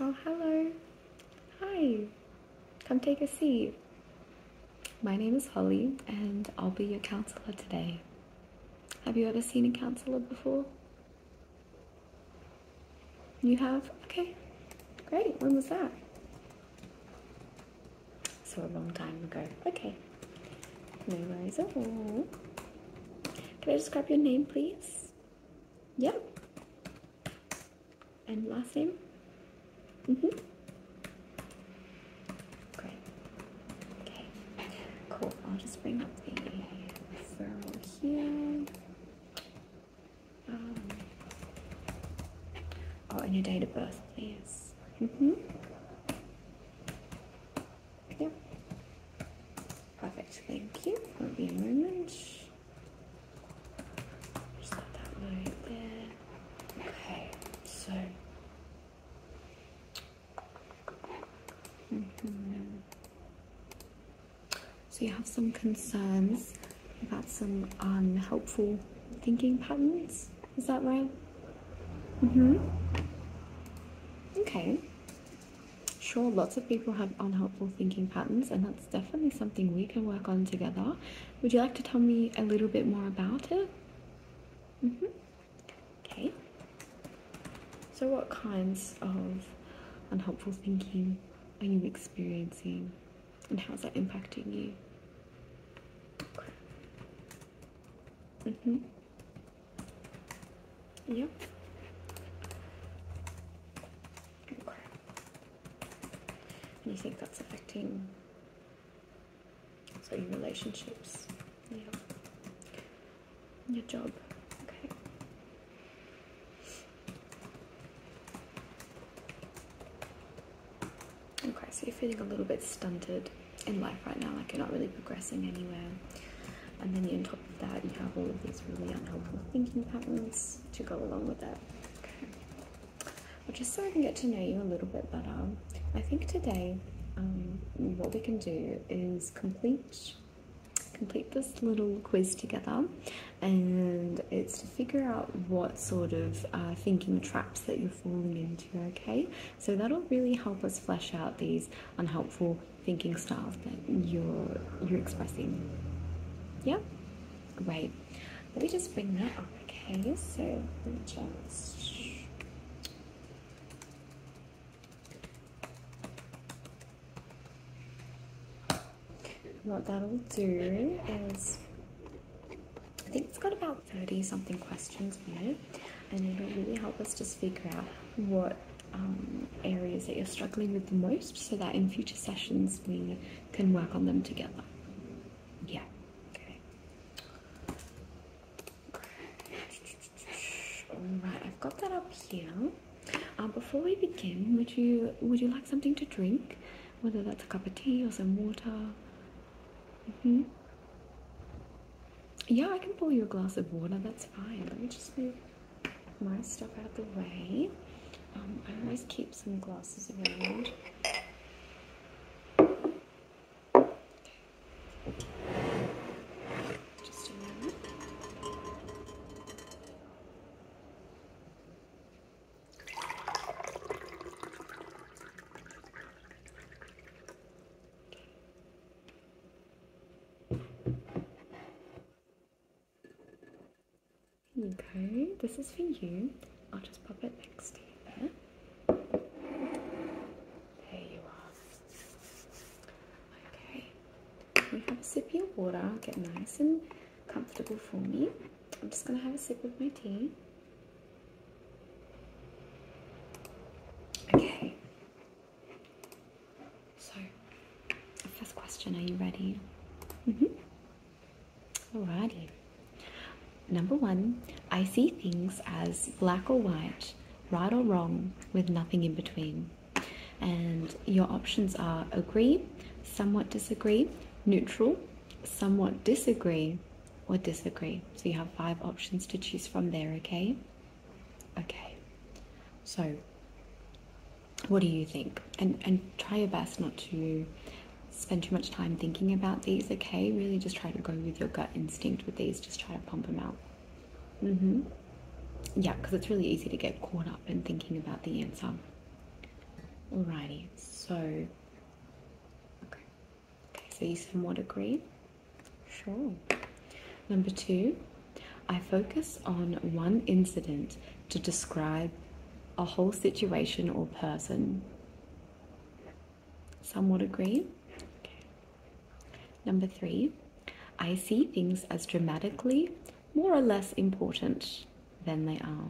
Oh, hello. Hi. Come take a seat. My name is Holly, and I'll be your counselor today. Have you ever seen a counselor before? You have? Okay. Great. When was that? So a long time ago. Okay. No worries at all. Can I just grab your name, please? Yep. And last name? Mm-hmm. Great. Okay. Cool. I'll just bring up the referral here. Um, oh, and your date of birth, please. Mm Perfect, thank you. Won't be a moment. Just let that load there. Okay, so. Mm-hmm. So you have some concerns about some unhelpful thinking patterns. Is that right? Mm-hmm. Okay. Sure, lots of people have unhelpful thinking patterns, and that's definitely something we can work on together. Would you like to tell me a little bit more about it? Mm-hmm. Okay. So, what kinds of unhelpful thinking are you experiencing? and how's that impacting you? Mm hmm Yep. Okay. And you think that's affecting so your relationships? Yeah. Your job. Okay. Okay, so you're feeling a little bit stunted in life right now, like you're not really progressing anywhere. And then on top of that, you have all of these really unhelpful thinking patterns to go along with that. Well, just so I can get to know you a little bit better, I think today um, what we can do is complete complete this little quiz together and it's to figure out what sort of uh, thinking traps that you're falling into, okay? So that'll really help us flesh out these unhelpful thinking styles that you're you're expressing. Yeah? Great. Let me just bring that up, okay? So let me just what that'll do is I think it's got about 30 something questions in it, and it'll really help us just figure out what um, areas that you're struggling with the most so that in future sessions we can work on them together. Yeah. Okay. Alright, I've got that up here. Uh, before we begin, would you would you like something to drink? whether that's a cup of tea or some water. -hmm. Yeah, I can pour you a glass of water, that's fine. Let me just move my stuff out of the way. Um, I always keep some glasses around you go. this is for you. I'll just pop it next to you there. There you are. Okay, have a sip of your water, get nice and comfortable for me. I'm just going to have a sip of my tea. Okay. So, first question, are you ready? Mm-hmm. Alrighty. Number one, I see things as black or white, right or wrong, with nothing in between. And your options are agree, somewhat disagree, neutral, somewhat disagree or disagree. So you have five options to choose from there, okay? Okay. So what do you think? And and try your best not to spend too much time thinking about these, okay? Really just try to go with your gut instinct with these. Just try to pump them out. Mm-hmm. Yeah, because it's really easy to get caught up in thinking about the answer. Alrighty, so okay. so you somewhat agree? Sure. Number two, I focus on one incident to describe a whole situation or person. Somewhat agree? Number three, I see things as dramatically more or less important than they are.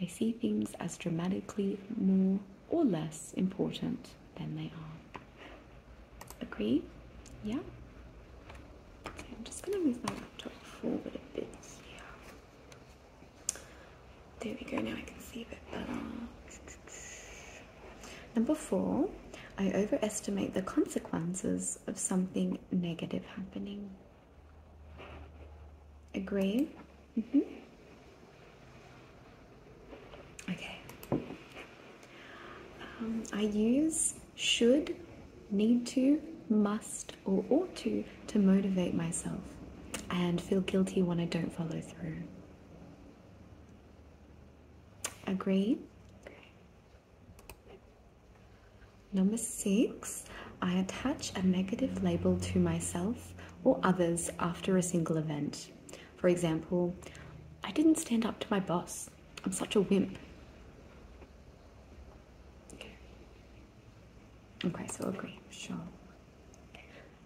They see things as dramatically more or less important than they are. Agree? Yeah? I'm just going to move my laptop forward a bit There we go, now I can see a bit better. Number four, I overestimate the consequences of something negative happening. Agree? Mm-hmm. Okay. Um, I use should, need to, must, or ought to to motivate myself and feel guilty when I don't follow through. Agree? Number six, I attach a negative label to myself or others after a single event. For example, I didn't stand up to my boss. I'm such a wimp. Okay, so agree, sure.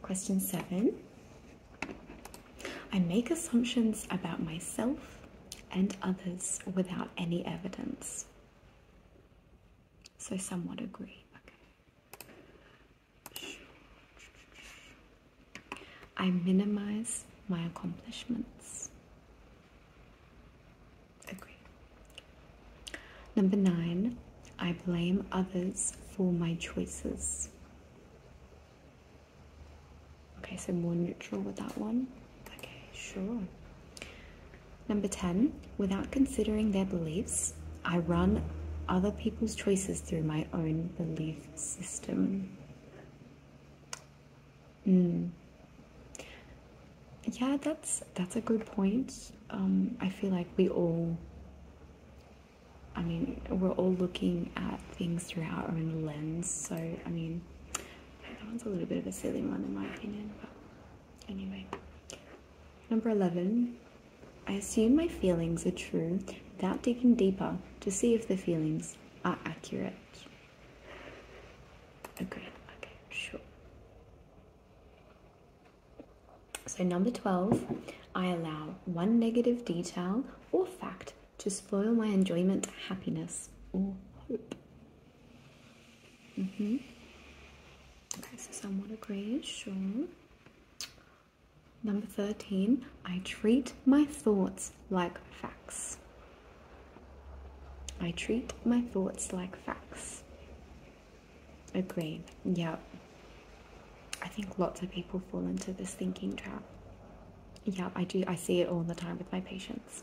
Question seven. I make assumptions about myself and others without any evidence. So somewhat agree. Okay. I minimize my accomplishments. Agree. Number nine, I blame others for my choices. Okay, so more neutral with that one. Okay, sure. Number 10, without considering their beliefs, I run other people's choices through my own belief system. Mm. Yeah, that's that's a good point. Um, I feel like we all, I mean, we're all looking at things through our own lens. So, I mean, that one's a little bit of a silly one in my opinion, Anyway, number 11. I assume my feelings are true without digging deeper to see if the feelings are accurate. Agree. Okay, sure. So, number 12, I allow one negative detail or fact to spoil my enjoyment, happiness, or hope. Mm hmm Okay, so someone a grayish, sure. Number 13, I treat my thoughts like facts. I treat my thoughts like facts. Agree, Yeah. I think lots of people fall into this thinking trap. Yeah, I do. I see it all the time with my patients.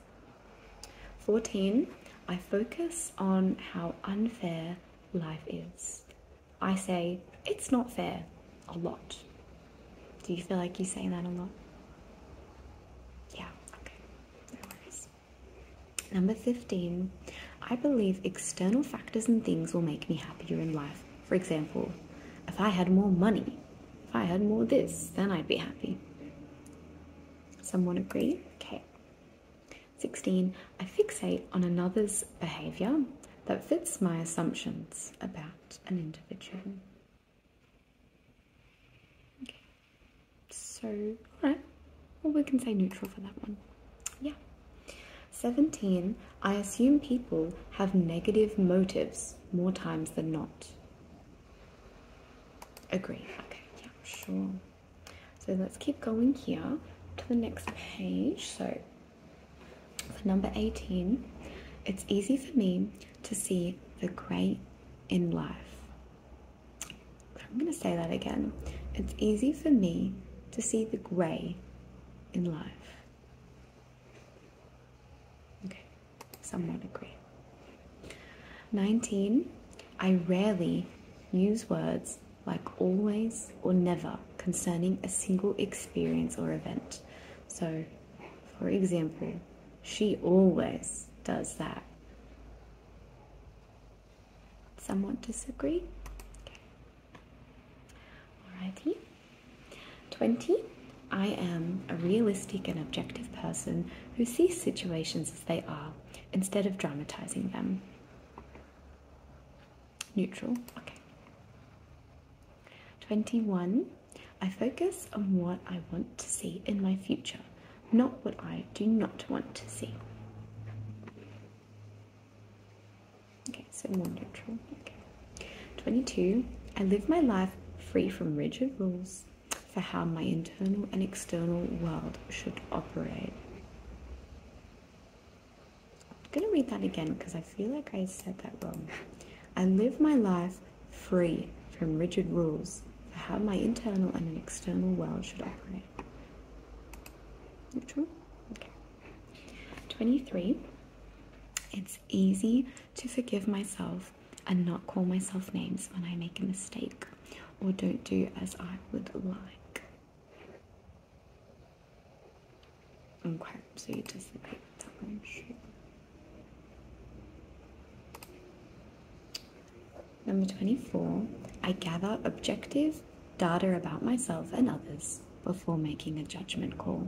14. I focus on how unfair life is. I say, it's not fair a lot. Do you feel like you say that a lot? Yeah, okay, no worries. Number 15, I believe external factors and things will make me happier in life. For example, if I had more money, if I had more this, then I'd be happy. Someone agree? Okay. 16. I fixate on another's behaviour that fits my assumptions about an individual. Okay. So, alright. Well, we can say neutral for that one. Yeah. 17. I assume people have negative motives more times than not. Agree. Okay, yeah, sure. So let's keep going here to the next page. So for number 18, it's easy for me to see the gray in life. I'm going to say that again. It's easy for me to see the grey in life. Okay. Some agree. 19. I rarely use words like always or never concerning a single experience or event. So, for example, she always does that. Somewhat disagree? Alrighty. 20. I am a realistic and objective person who sees situations they are instead of dramatizing them. Neutral, okay. 21. I focus on what I want to see in my future, not what I do not want to see. Okay, so more neutral. Okay. 22. I live my life free from rigid rules for how my internal and external world should operate. I'm going to read that again because I feel like I said that wrong. I live my life free from rigid rules for how my internal and external world should operate. True. Okay. 23. It's easy to forgive myself and not call myself names when I make a mistake or don't do as I would like. Okay, so you disagree with that one, shoot. Number 24, I gather objective data about myself and others before making a judgment call.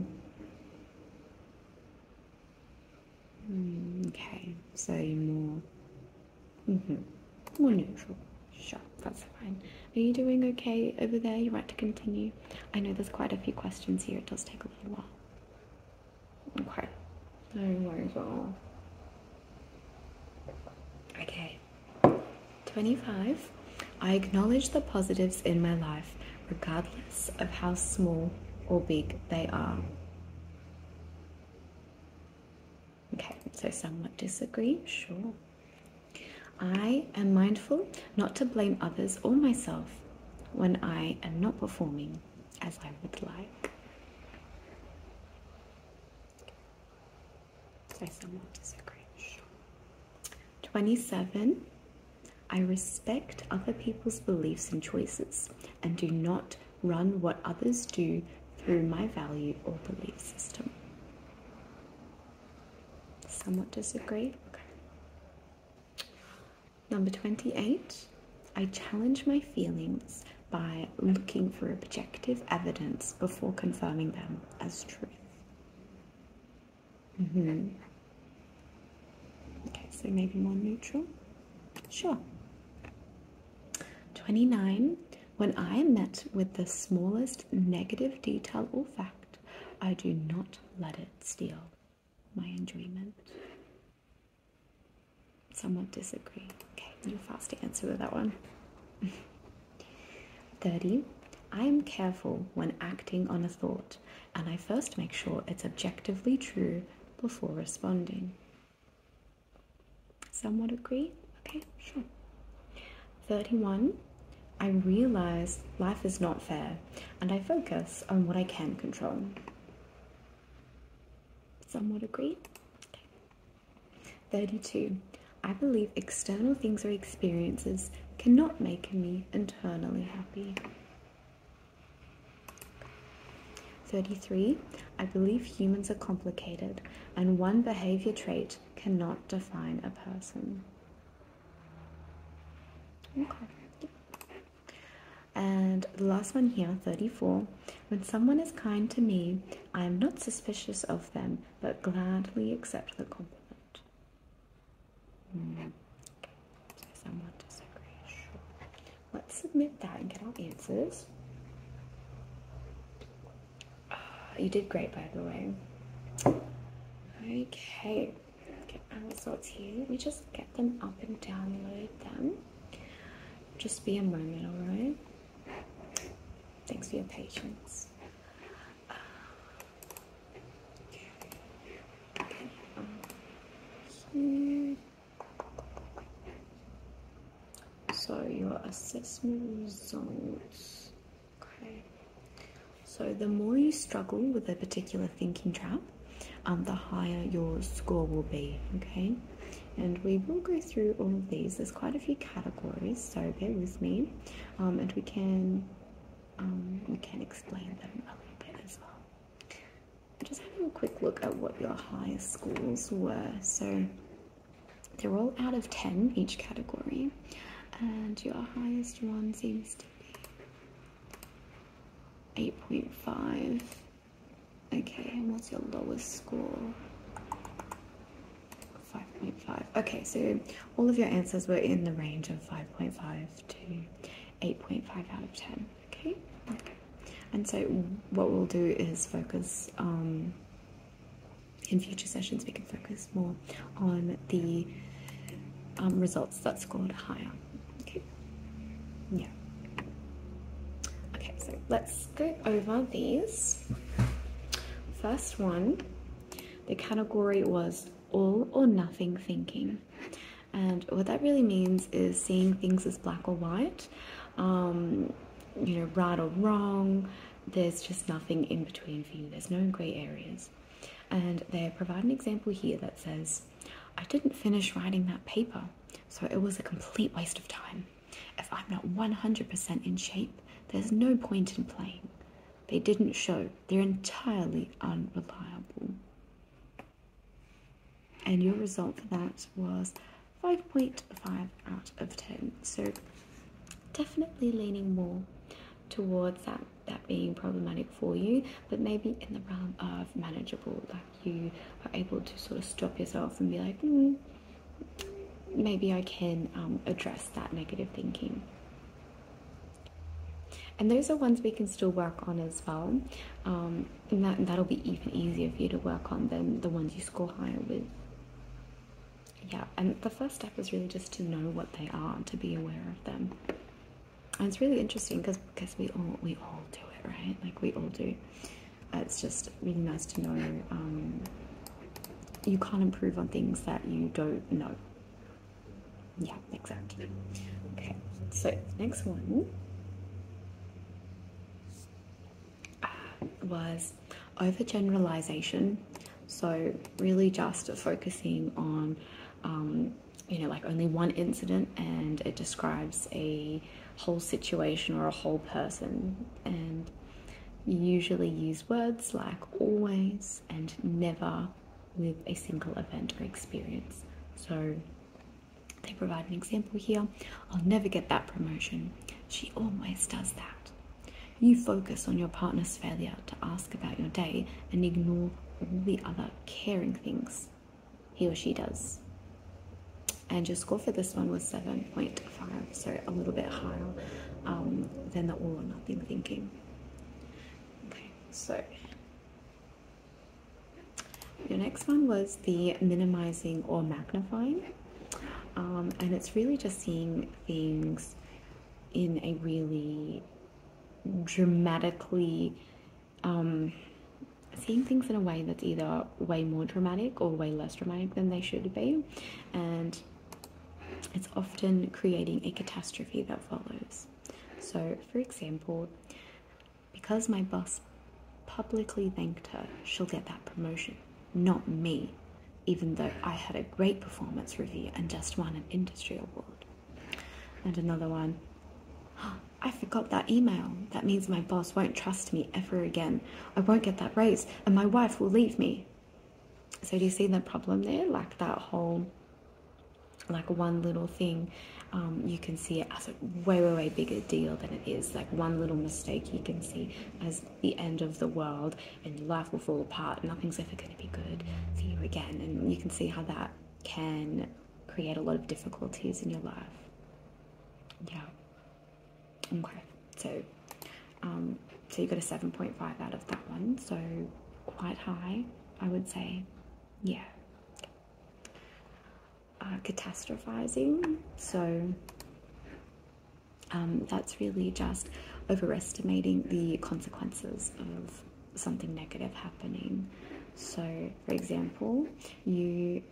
Mm, okay, so more, mm more neutral. Sure, that's fine. Are you doing okay over there? You want to continue? I know there's quite a few questions here. It does take a little while. Okay, no worries at all. Okay, 25. I acknowledge the positives in my life, regardless of how small or big they are. Okay, so somewhat disagree, sure. I am mindful not to blame others or myself when I am not performing as I would like. I somewhat disagree, 27. I respect other people's beliefs and choices and do not run what others do through my value or belief system. Somewhat disagree? Number 28, I challenge my feelings by looking for objective evidence before confirming them as truth. Mm-hmm. Okay, so maybe more neutral. Sure. 29. When I am met with the smallest negative detail or fact, I do not let it steal my enjoyment. Someone disagree. Okay, you're fast answer with that one. 30. I am careful when acting on a thought, and I first make sure it's objectively true before responding. Somewhat agree? Okay, sure. 31. I realize life is not fair and I focus on what I can control. Somewhat agree? 32. I believe external things or experiences cannot make me internally happy. 33. I believe humans are complicated, and one behavior trait cannot define a person. Okay. And the last one here, 34. When someone is kind to me, I am not suspicious of them, but gladly accept the compliment. Hmm. Let's submit that and get our answers. Uh, you did great, by the way. Okay. Get our results here. We just get them up and download them. Just be a moment, alright? Thanks for your patience. Uh, so your assessment results okay so the more you struggle with a particular thinking trap um, the higher your score will be okay and we will go through all of these there's quite a few categories so bear with me um, and we can um, we can explain them a little bit as well just having a quick look at what your highest schools were. So they're all out of 10 each category, and your highest one seems to be 8.5. Okay, and what's your lowest score? 5.5. Okay, so all of your answers were in the range of 5.5 to 8.5 out of 10. Okay? And so what we'll do is focus um, in future sessions, we can focus more on the um, results that scored higher. Okay? Yeah. Okay, so let's go over these. First one, the category was all or nothing thinking. And what that really means is seeing things as black or white, um, you know, right or wrong. There's just nothing in between for you, there's no grey areas. And they provide an example here that says, I didn't finish writing that paper, so it was a complete waste of time. If I'm not 100% in shape, there's no point in playing. They didn't show, they're entirely unreliable and your result for that was 5.5 out of 10 so definitely leaning more towards that that being problematic for you but maybe in the realm of manageable like you are able to sort of stop yourself and be like hmm, maybe i can um, address that negative thinking and those are ones we can still work on as well um, and that, that'll be even easier for you to work on than the ones you score higher with. Yeah, and the first step is really just to know what they are, to be aware of them. And it's really interesting because because we all we all do it, right? Like we all do. Uh, it's just really nice to know. Um, you can't improve on things that you don't know. Yeah, exactly. Okay, so next one uh, was overgeneralization. So, really just focusing on, um, you know, like only one incident and it describes a whole situation or a whole person. And you usually use words like always and never with a single event or experience. So, they provide an example here. I'll never get that promotion. She always does that. You focus on your partner's failure to ask about your day and ignore all the other caring things he or she does. And your score for this one was 7.5, so a little bit higher um, than the all or nothing thinking. Okay, so your next one was the minimizing or magnifying, um, and it's really just seeing things in a really dramatically, um, seeing things in a way that's either way more dramatic or way less dramatic than they should be, and it's often creating a catastrophe that follows. So, for example, because my boss publicly thanked her, she'll get that promotion, not me, even though I had a great performance review and just won an industry award. And another one. I forgot that email. That means my boss won't trust me ever again. I won't get that raise, and my wife will leave me. So, do you see the problem there? Like that whole like one little thing, um, you can see as a way, way, way bigger deal than it is. Like one little mistake you can see as the end of the world and your life will fall apart. Nothing's ever going to be good for you again. And you can see how that can create a lot of difficulties in your life. Yeah. Okay. So, um, so you got a 7.5 out of that one. So quite high, I would say. Yeah catastrophizing. So um, that's really just overestimating the consequences of something negative happening. So, for example, you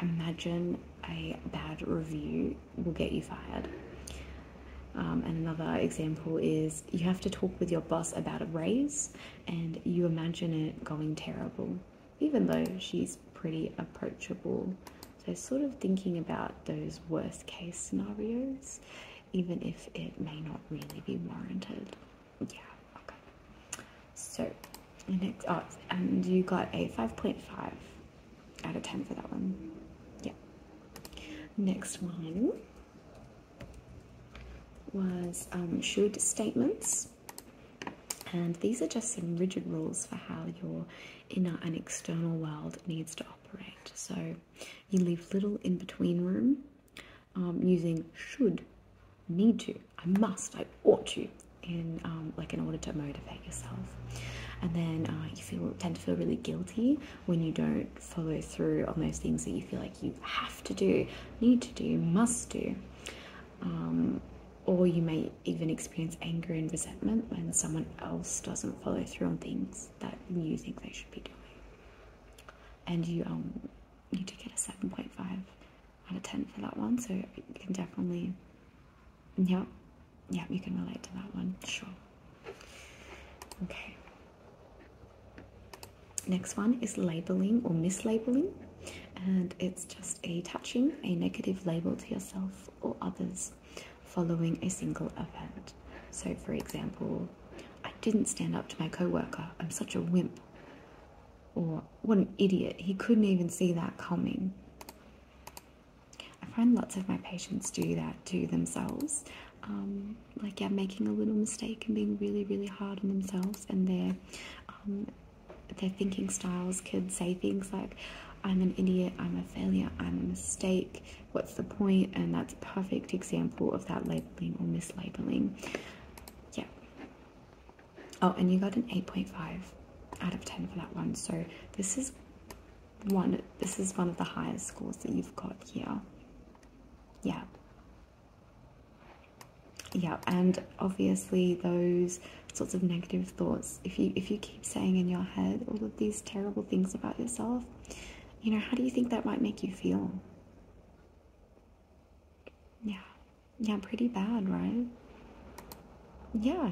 imagine a bad review will get you fired. and um, another example is you have to talk with your boss about a raise, and you imagine it going terrible, even though she's pretty approachable. So, sort of thinking about those worst case scenarios, even if it may not really be warranted. Yeah, okay. So, next, oh, and you got a 5.5 out of 10 for that one. Yeah. Next one was um, should statements. And these are just some rigid rules for how your inner and external world needs to operate. So you leave little in between room um, using should, need to, I must, I ought to, in um, like in order to motivate yourself. And then uh, you feel tend to feel really guilty when you don't follow through on those things that you feel like you have to do, need to do, must do. Um, or you may even experience anger and resentment when someone else doesn't follow through on things that you think they should be doing. And you um, need to get a 7.5 out of 10 for that one, so you can definitely, yeah, yeah, you can relate to that one, sure. Okay, Next one is labeling or mislabeling, and it's just attaching a negative label to yourself or others following a single event. So, for example, I didn't stand up to my coworker. I'm such a wimp. Or what an idiot. He couldn't even see that coming. I find lots of my patients do that to themselves. Um, like yeah, making a little mistake and being really really hard on themselves and their um, their thinking styles could say things like i'm an idiot i'm a failure i'm a mistake what's the point and that's a perfect example of that labeling or mislabeling yeah oh and you got an 8.5 out of 10 for that one so this is one this is one of the highest scores that you've got here yeah yeah and obviously those sorts of negative thoughts if you if you keep saying in your head all of these terrible things about yourself you know how do you think that might make you feel yeah yeah pretty bad right yeah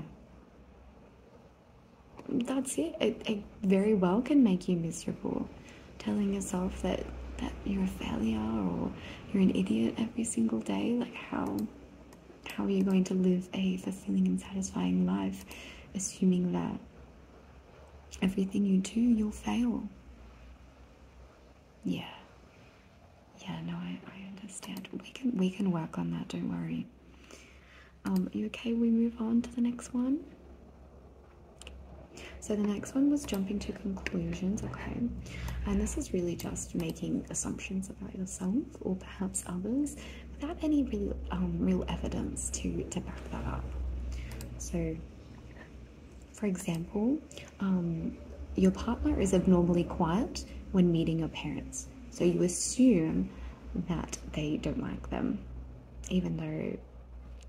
that's it. it it very well can make you miserable telling yourself that that you're a failure or you're an idiot every single day like how how are you going to live a fulfilling and satisfying life assuming that everything you do you'll fail yeah yeah no i, I understand we can we can work on that don't worry um you okay we move on to the next one so the next one was jumping to conclusions, okay? And this is really just making assumptions about yourself or perhaps others without any real, um, real evidence to, to back that up. So, for example, um, your partner is abnormally quiet when meeting your parents. So you assume that they don't like them, even though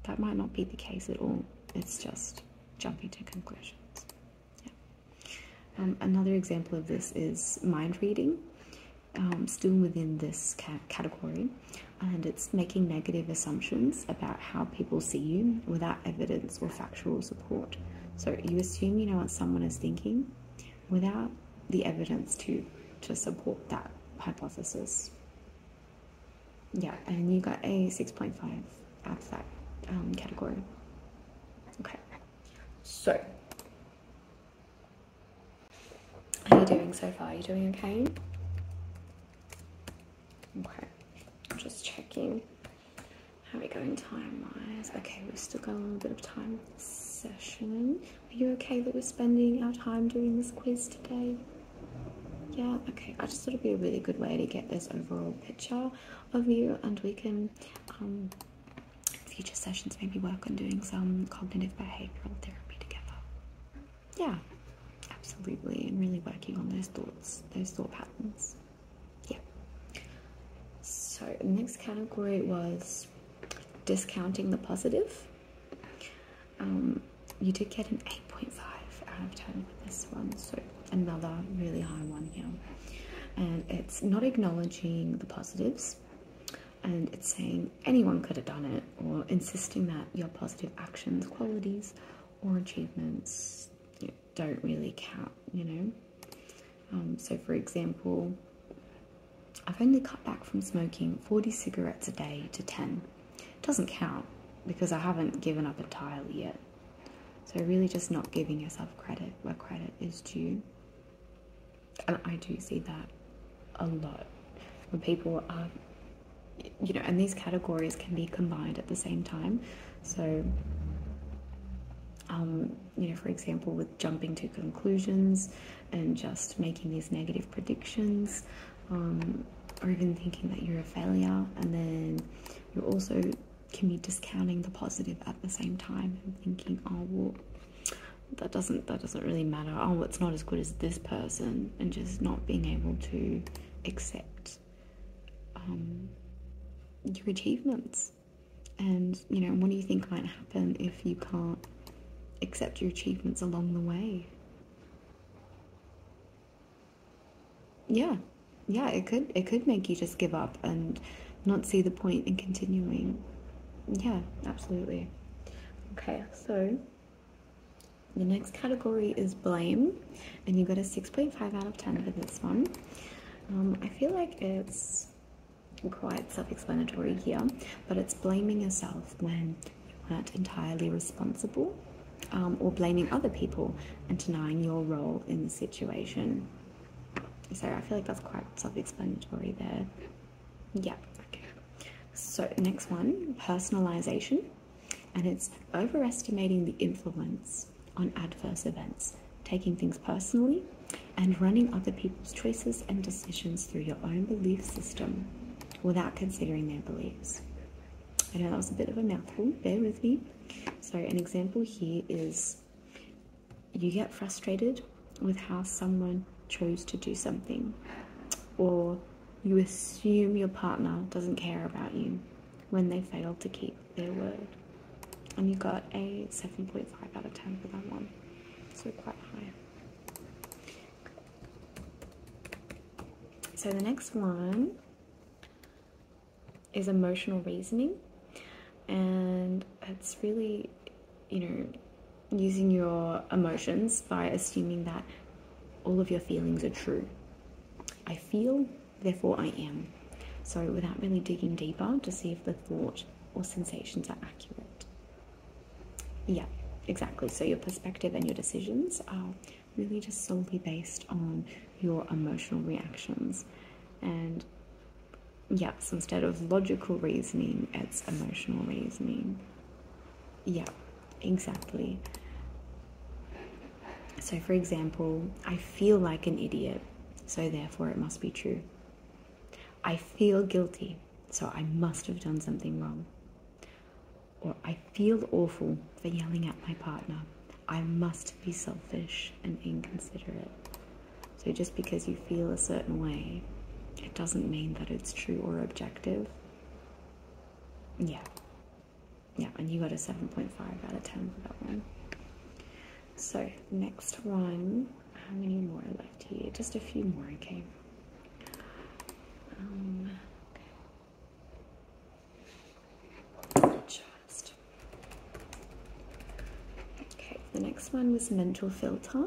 that might not be the case at all. It's just jumping to conclusions. Um, another example of this is mind reading, um, still within this category, and it's making negative assumptions about how people see you without evidence or factual support. So you assume you know what someone is thinking without the evidence to to support that hypothesis yeah, and you got a 6.5 out um, category. Okay, so how are you doing so far? Are you doing okay? Okay, just checking how are we going time-wise. Okay, we've still got a little bit of time session. Are you okay that we're spending our time doing this quiz today? yeah okay i just thought it'd be a really good way to get this overall picture of you and we can um, future sessions maybe work on doing some cognitive behavioral therapy together yeah absolutely and really working on those thoughts those thought patterns yeah so the next category was discounting the positive um, you did get an 8.5 out of 10 with this one, so another really high one here. And it's not acknowledging the positives, and it's saying anyone could have done it, or insisting that your positive actions, qualities, or achievements don't really count, you know. Um, so, for example, I've only cut back from smoking 40 cigarettes a day to 10. It doesn't count because I haven't given up entirely yet. So, really, just not giving yourself credit where credit is due. And I do see that a lot when people are, you know, and these categories can be combined at the same time. So, um, you know, for example, with jumping to conclusions and just making these negative predictions, um, or even thinking that you're a failure, and then you also can be discounting the positive at the same time and thinking, oh well, that doesn't that doesn't really matter. Oh, it's not as good as this person, and just not being able to accept um, your achievements. And you know, what do you think might happen if you can't accept your achievements along the way? yeah, yeah, it could it could make you just give up and not see the point in continuing. Yeah, absolutely. Okay, so the next category is blame, and you got a 6.5 out of 10 for this one. Um, I feel like it's quite self-explanatory here, but it's blaming yourself when aren't entirely responsible um, or blaming other people and denying your role in the situation. So I feel like that's quite self-explanatory there. Yeah, okay. So next one, personalization. And it's overestimating the influence on adverse events, taking things personally, and running other people's choices and decisions through your own belief system without considering their beliefs. I know that was a bit of a mouthful, bear with me. So, an example here is you get frustrated with how someone chose to do something, or you assume your partner doesn't care about you when they fail to keep their word. And you got a 7.5 out of 10 for that one, so quite high. So the next one is emotional reasoning, and it's really, you know, using your emotions by assuming that all of your feelings are true. I feel, therefore I am. So without really digging deeper to see if the thought or sensations are accurate. Yeah, exactly. So your perspective and your decisions are really just solely based on your emotional reactions. And yes, instead of logical reasoning, it's emotional reasoning. Yeah, exactly. So, for example, I feel like an idiot, so therefore it must be true. I feel guilty, so I must have done something wrong or I feel awful for yelling at my partner. I must be selfish and inconsiderate. So just because you feel a certain way, it doesn't mean that it's true or objective. Yeah. Yeah, and you got a 7.5 out of 10 for that one. So, next one. How many more left here? Just a few more, okay. Um, okay. Okay, the next one was mental filter,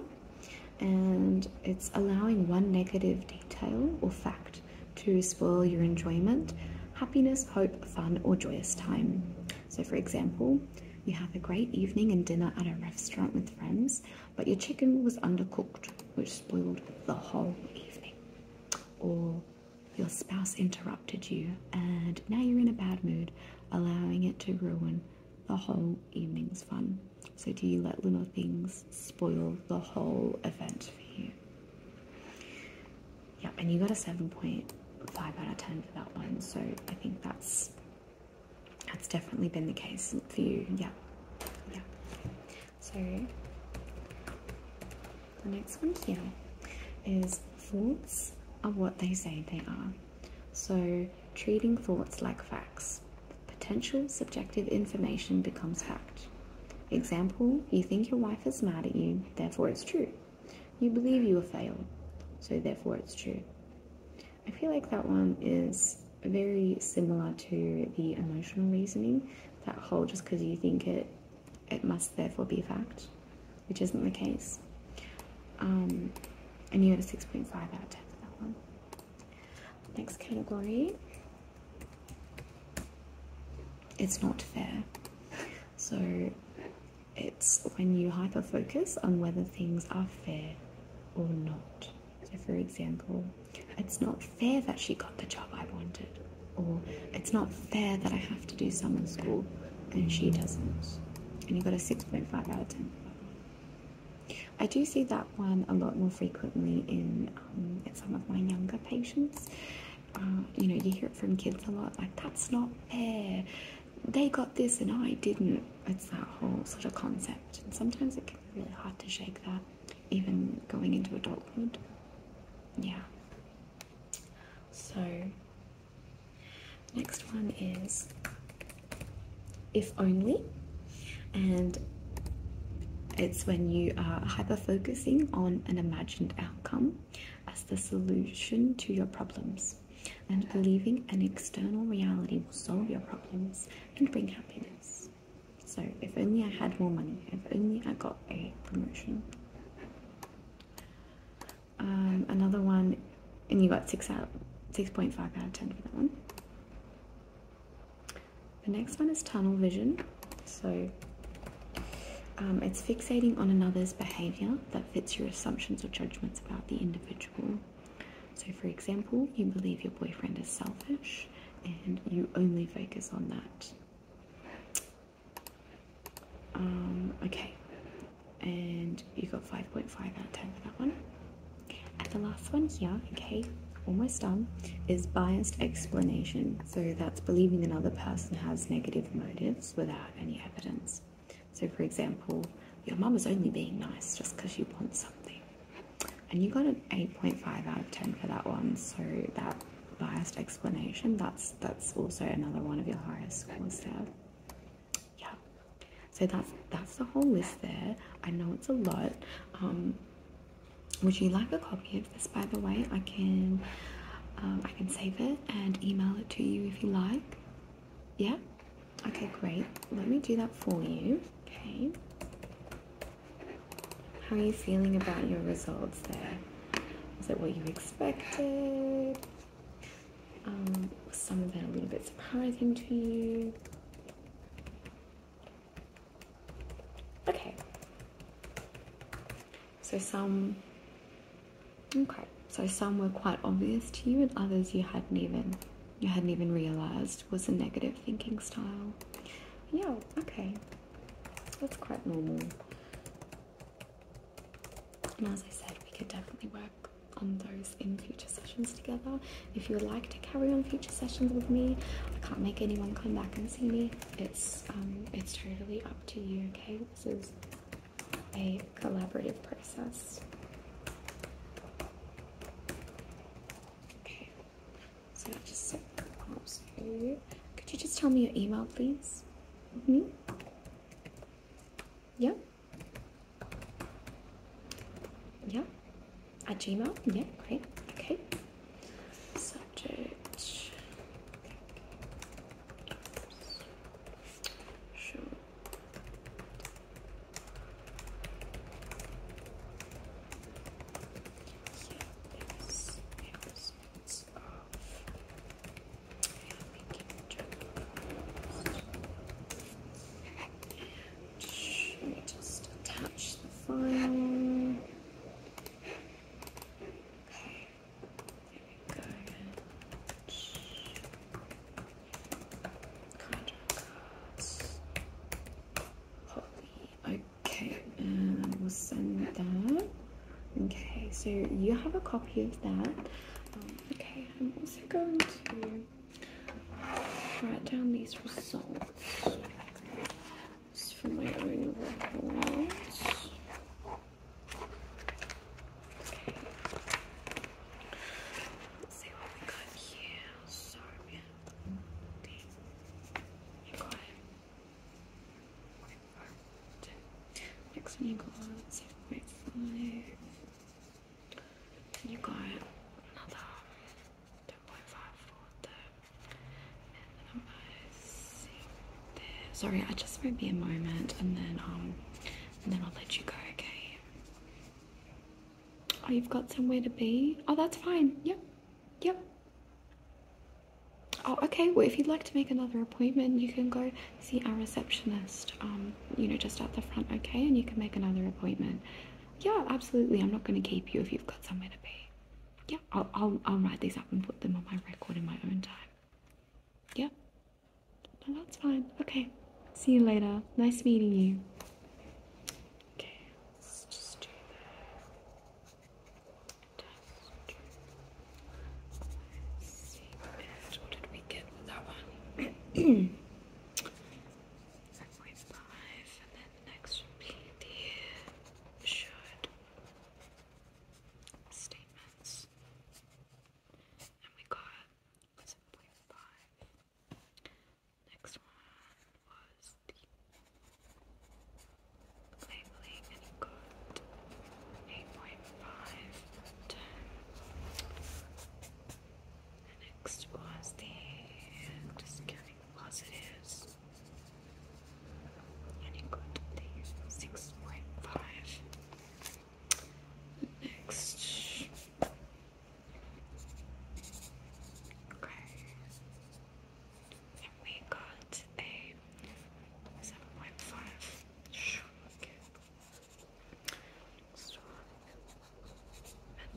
and it's allowing one negative detail or fact to spoil your enjoyment, happiness, hope, fun, or joyous time. So, for example, you have a great evening and dinner at a restaurant with friends, but your chicken was undercooked, which spoiled the whole evening or your spouse interrupted you and now you're in a bad mood, allowing it to ruin the whole evening's fun. So, do you let little things spoil the whole event for you? Yeah, and you got a 7.5 out of 10 for that one, so I think that's that's definitely been the case for you. Yeah, yeah. So the next one here is thoughts are what they say they are. So treating thoughts like facts. Potential subjective information becomes fact. Example, you think your wife is mad at you, therefore it's true. You believe you will fail, so therefore it's true. I feel like that one is very similar to the emotional reasoning that whole just because you think it it must therefore be a fact which isn't the case um, and you had a 6.5 out of 10 for that one next category it's not fair so it's when you hyper focus on whether things are fair or not so, for example, it's not fair that she got the job I wanted, or it's not fair that I have to do summer school and she doesn't. And you got a 6.5 out of 10. I do see that one a lot more frequently in, um, some of my younger patients. Uh, you know, you hear it from kids a lot, like, that's not fair. They got this and I didn't. It's that whole sort of concept. And sometimes it can be really hard to shake that even going into adulthood. Yeah. So, next one is If Only, and it's when you are hyper focusing on an imagined outcome as the solution to your problems and believing an external reality will solve your problems and bring happiness. So if only I had more money, if only I got a promotion. Um, another one, and you got six out, six point five out of ten for that one. The next one is tunnel vision. So um, it's fixating on another's behavior that fits your assumptions or judgments about the individual. So, for example, you believe your boyfriend is selfish and you only focus on that. Um, okay, and you got 5.5 out of 10 for that one. And the last one here, okay, almost done, is biased explanation. So that's believing another person has negative motives without any evidence. So, for example, your mum is only being nice just because she wants something and you got an 8.5 out of 10 for that one so that biased explanation that's that's also another one of your highest scores there yeah so that's that's the whole list there i know it's a lot um, would you like a copy of this by the way i can um, i can save it and email it to you if you like yeah okay great let me do that for you okay how are you feeling about your results There is Was it what you expected? Um, was some of that a little bit surprising to you? Okay. So some. Okay. So some were quite obvious to you, and others you hadn't even you hadn't even realized was a negative thinking style yeah, okay, that's quite normal. And as I said, we could definitely work on those in future sessions together. If you would like to carry on future sessions with me, I can't make anyone come back and see me. It's um, it's totally up to you. Okay, this is a collaborative process. Could you just tell me your email, please? hmm Yeah. Yeah. At Gmail? Yeah, great. Okay. Subject. Sure announcements of making Just attach the file. Uh, okay, and I will send that. Okay, so you have a copy of that. Um, okay, I'm also going to write down these results. Just for my own records. Let's see what we got here. Next one you got 7.5. you got another 10.5 the and there. Sorry, I just will be a moment and then um and then I'll let you go, okay? Oh you've got somewhere to be? Oh that's fine, yep. Yep. Oh, okay. Well, if you'd like to make another appointment, you can go see our receptionist, um, you know, just at the front, okay? And you can make another appointment. Yeah, absolutely. I'm not going to keep you if you've got somewhere to be. Yeah, I'll, I'll, write these up and put them on my record in my own time. Yep. No, that's fine. Okay. See you later. Nice meeting you. Okay, let's just do what did we get with that one? 7.5, and then the next would be the should statements. And we got 7.5. Next one was the labeling, and he got 8.5 next was the discounting positives, and he got 6.5. Next Okay. we got a 7.5 shrunk. Next one.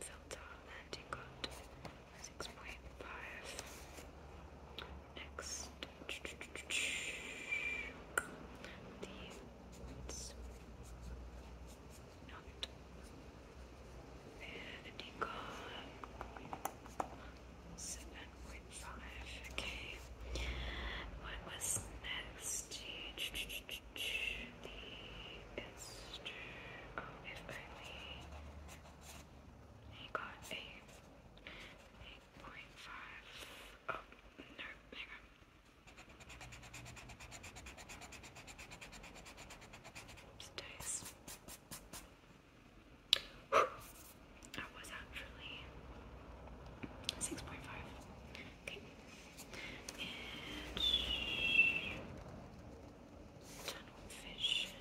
Filter. And you got 6.5. Next. These not vanity gone. Seven point five. Okay. What was next? The Esther. Oh, if only he got a eight point five. Oh no, hang on. Nice. I was actually six point five. Okay. tunnel vision.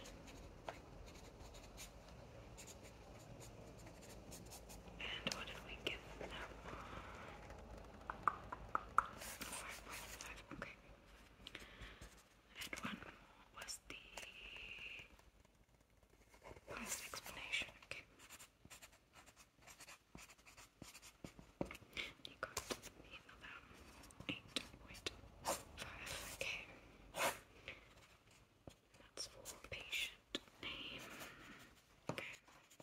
And what did we give that one? Okay. And one more was the past explanation. Okay. You eight point five. Okay. That's for patient name.